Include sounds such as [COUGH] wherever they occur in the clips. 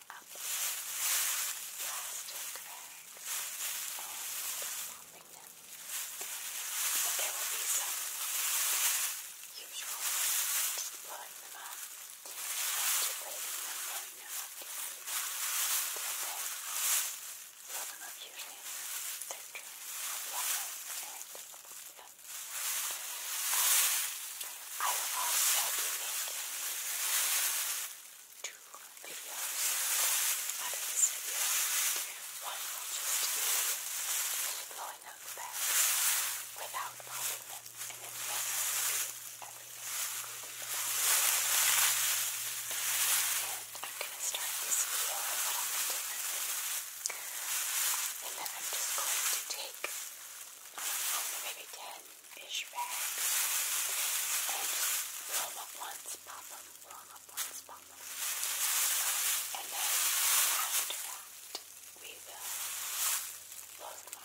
picking up plastic bags and popping them. But there will be some usual just blowing them them, blowing them them, and them up usually in the third turn of water and I will also be making two videos out of this video. One just blowing out the bags without popping them, and then I'm going to start this video a little bit And then I'm just going to take, um, maybe 10 Fish bags and up once, pop them, blow up once, pop them. And then after that, we will blow them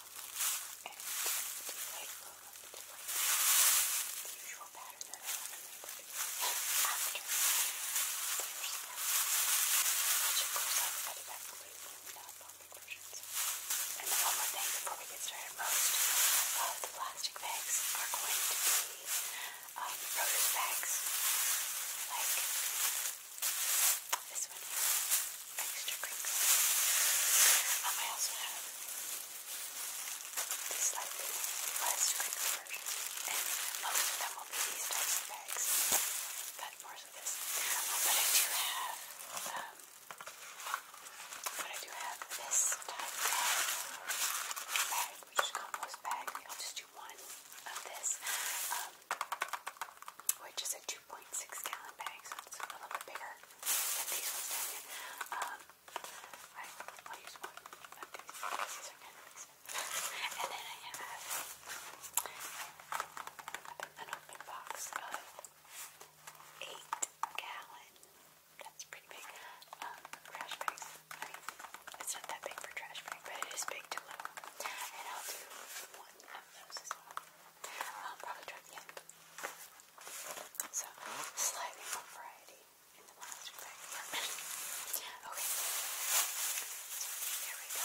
and deflate, blow them up, deflate. the usual pattern that I remember. After the first step, which of course I've edited that conclusions. And one more thing before we get started, most of the plastic bags are going to be um, bags, like this one here, extra crinkly. Um, I also have the slightly less crinkly version, and most of will be these types of bags, but more so this. Um, but I do have um, but I do have this type of bag, which is compost bag. I'll just do one of this, um, which is a 2.6 gallon bag, so it's a little bit bigger than these Um, I'll use one of these. [LAUGHS] and then I have an open box eight gallon. That's pretty big. Um, trash bags. it's not that big for trash bag, but it is big to And I'll do one of those as well. I'll um, probably try the end. So, slightly more variety in the plastic bag [COUGHS] okay. Here we go.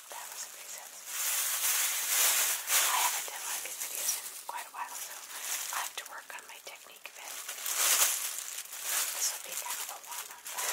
that recipe says. I haven't done one of these videos in quite a while, so I have to work on my technique a bit. This will be kind of a warm up. Now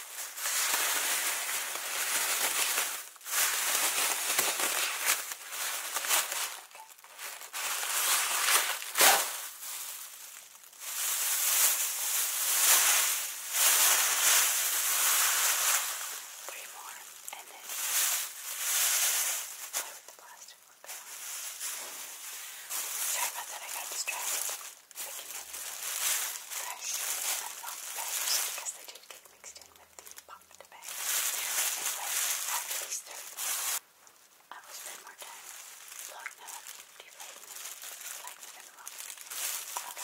Three more, and then play with the plastic. Sorry about that, I got distracted fresh and not bags because they did get mixed in with the popped bags. Anyway, after these 30 I will spend more time blowing them up, deflating them, lighting them up. Okay. Okay,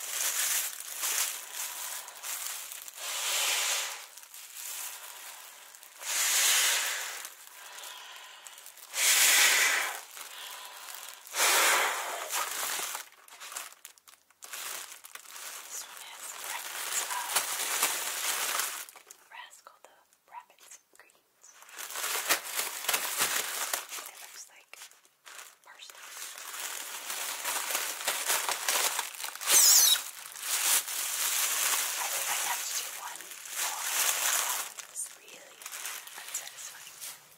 this one has the fragrance of uh, Rascal the Rabbit's greens. It looks like parsley. I think I have to do one more. It's really unsatisfying.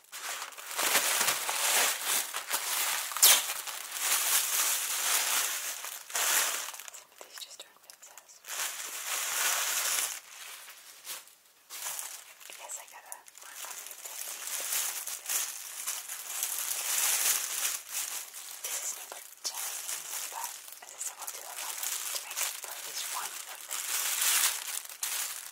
These just aren't fantastic. Yes, I gotta work on my technique. This is number 10, but as I said, we'll do 11 to make up for at least one of them.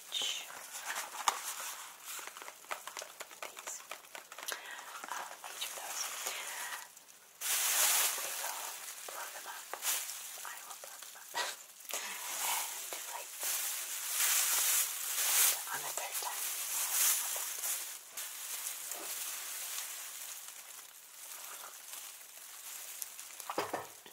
each of these, um, each of those. We will blow them up. I will blow them up [LAUGHS] and deflate them on the third time. Okay.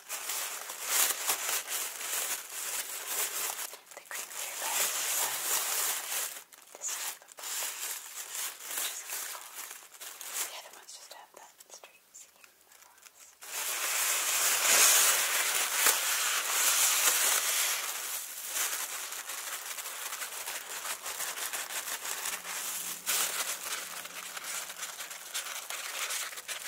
The green beer bag this type of bottle, which is kind of cool. The other ones just have that straight seam across. This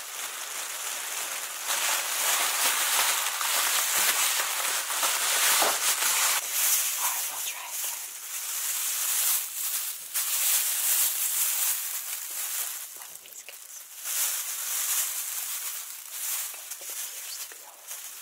Alright, we'll try again. One of these guys. Okay, it appears to be all of them. Okay,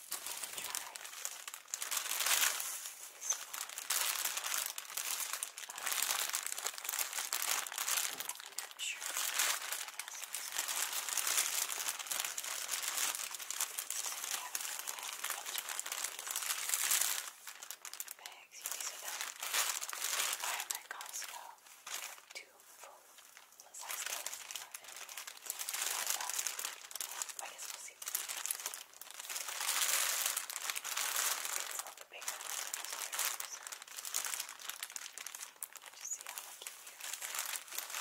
and try this one. Um, I'm not sure if Bags, you these are them. Buy them at Costco. Two full size bags. I guess we'll see. It's all the big ones in this series. Just see how lucky you are. All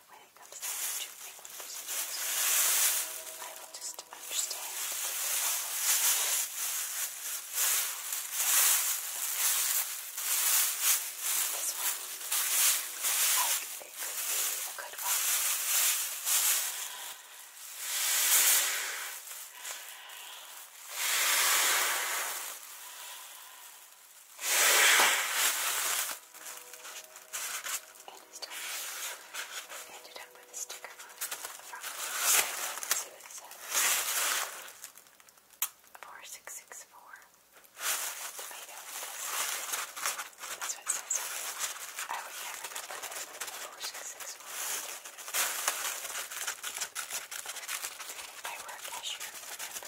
when it comes down to frequent procedures. I will just understand This one, like, it could be a good one. But and it's done. We ended up with a sticker on it from Let's see what it says. 4664. Tomato. That's what it says. I would never remember this. 4664. I were a cashier, remember?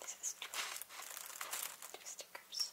This is two, two stickers.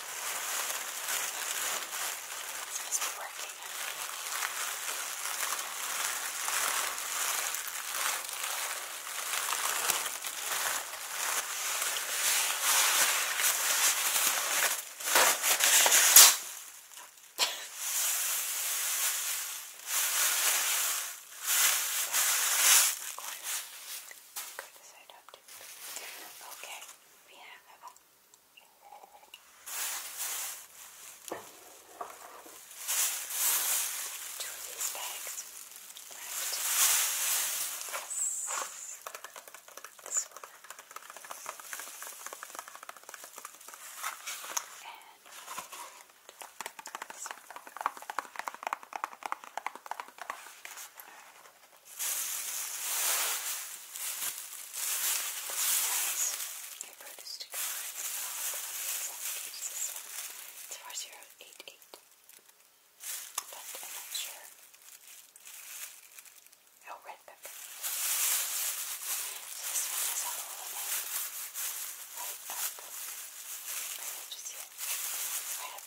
It's supposed to be working. Go this side up. Okay we have two of these bags left. This, this one. And this one. Alright. Nice. Your bird is to go It's 4088. But I'm not sure. Oh, red pepper. So this one is a lemon. Right up. Right up just here. Right up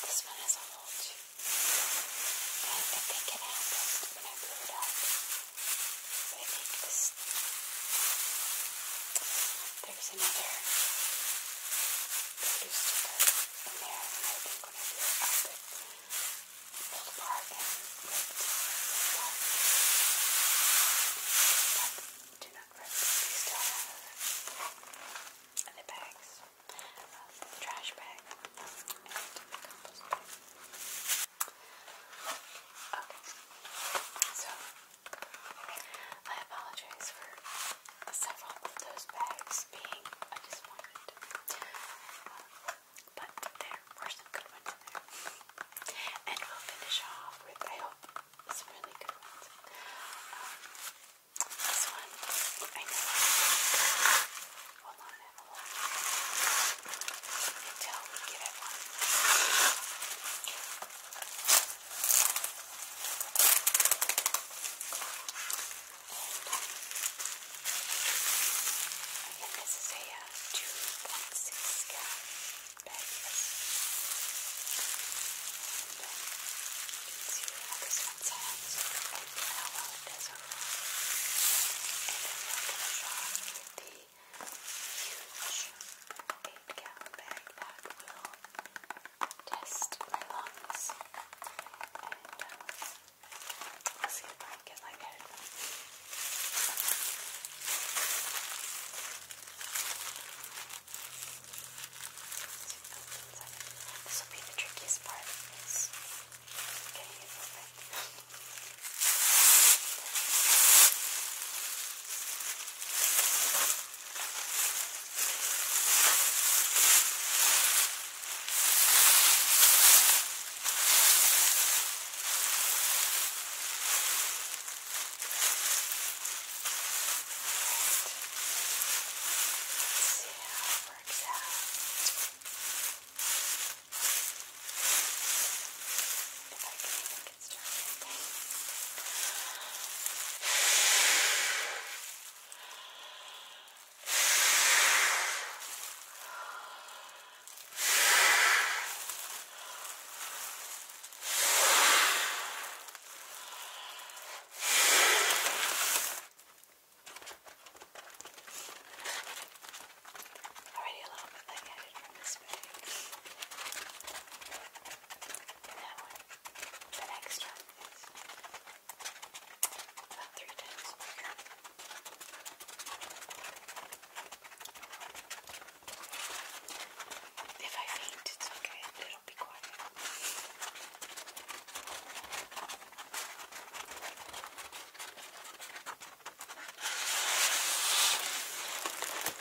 This one has a hole too. I think it happened when I blew it up. But I think this there's another blue sticker in there, and I think when I do it, I'll put pulled apart and ripped. But do not rip. We still have the bags, um, the trash bag, um, and the compost bag. Okay, so I apologize for several of those bags being disappointed. Uh, but there were some good ones in there. And we'll finish off with, I hope, some really good ones. Um, this one, I know will not until we get it one. I think this is a uh, 2.6 gallon bag, yes. And um, you can see how this one sounds and how well it does overall. And then we're going to draw with the huge eight gallon bag that will test my lungs. And um, I'll see if I can get lightheaded. This will be the trickiest part of this. Getting it perfect see how it works out. If I can even get started, okay? Already a little bit lightheaded from this bag in that one. The next one is about three times bigger. If I faint, it's okay. It'll be quiet.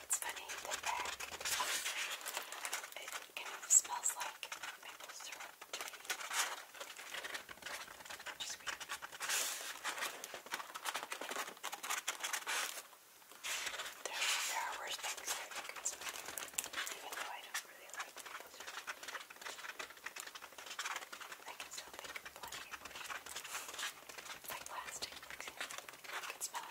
It's funny, the back, it kind smells like maple syrup There, are worse things that you can even though I don't really like maple syrup. I can still think of plenty of Like plastic, for can smell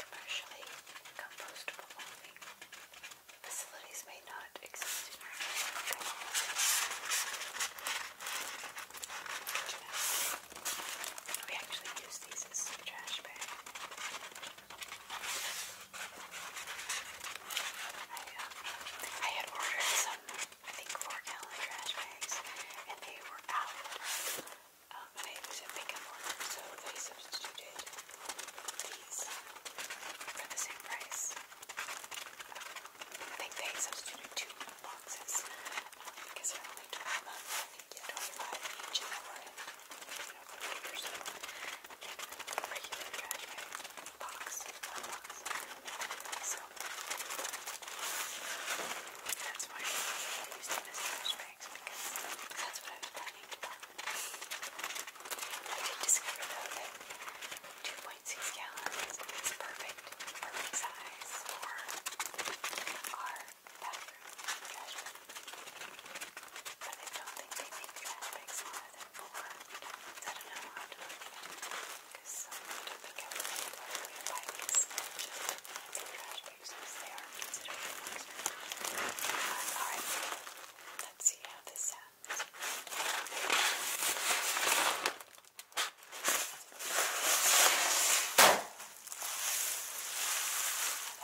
Commercially compostable only. Facilities may not exist in our area. We actually use these as trash bags. I, uh, had ordered some, I think, four gallon trash bags, and they were out. Um, and I was a so they substituted these for the same price. I think they substituted two boxes um, because they only 12 months, think, yeah, 25 each, and they or so in the regular trash bag box, one box. So that's why I'm using this trash bags because that's what I was planning to buy. I did discover though that 2.6 gallons is perfect, perfect size for our bathroom trash bag. But I don't think they make trash bags long therefore, I don't know how to look at because um, I don't like to buy these trash bags since they are considered expensive. alright, let's see how this sounds.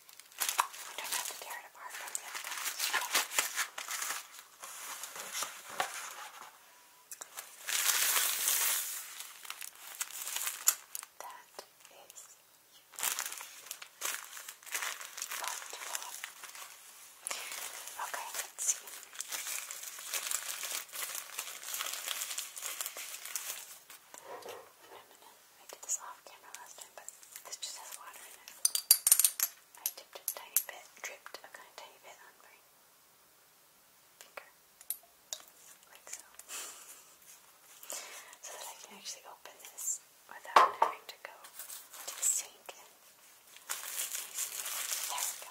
I don't have to tear it apart from the other guys. That is wonderful. Okay, let's see. Reminisce. I did this off camera last time, but this just has water in it. I dipped a tiny bit, dripped a kind of tiny bit on my finger, like so, [LAUGHS] so that I can actually open this without having to go to the sink there we go.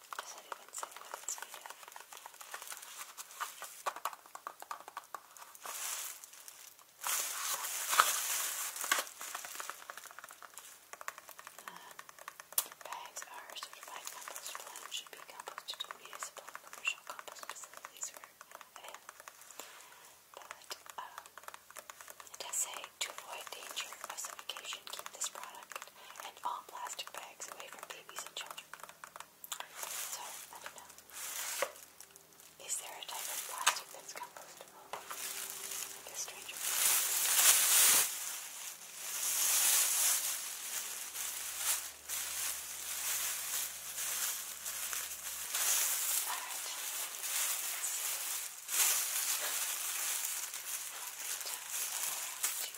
Does it even uh, bags are should be composted in municipal and commercial compost facilities for But um, it say to avoid danger of suffocation, keep this product and all plastic bags away from babies and children. So, I don't know. Is there a type of plastic that's compostable? Like a stranger. Alright. Let's see. How many times do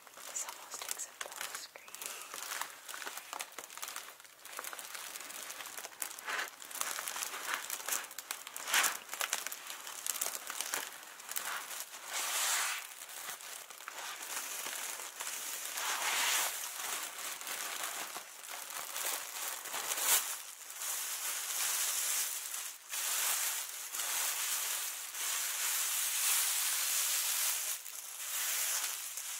This almost takes up the whole screen. This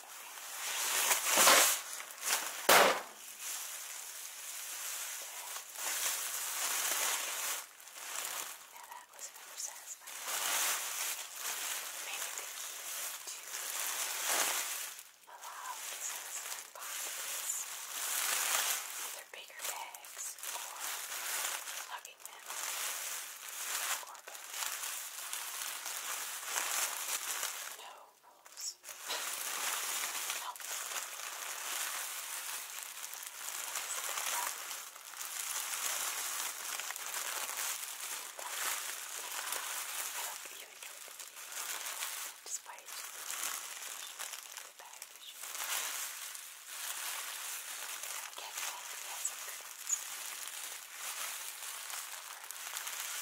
Now that was never satisfying. Maybe the key to allow the satisfying pockets, either bigger bags or lugging them, or adorable. No rules. no. I hope you enjoyed the video. Despite the bad vision. Again, I hope you had some good ones.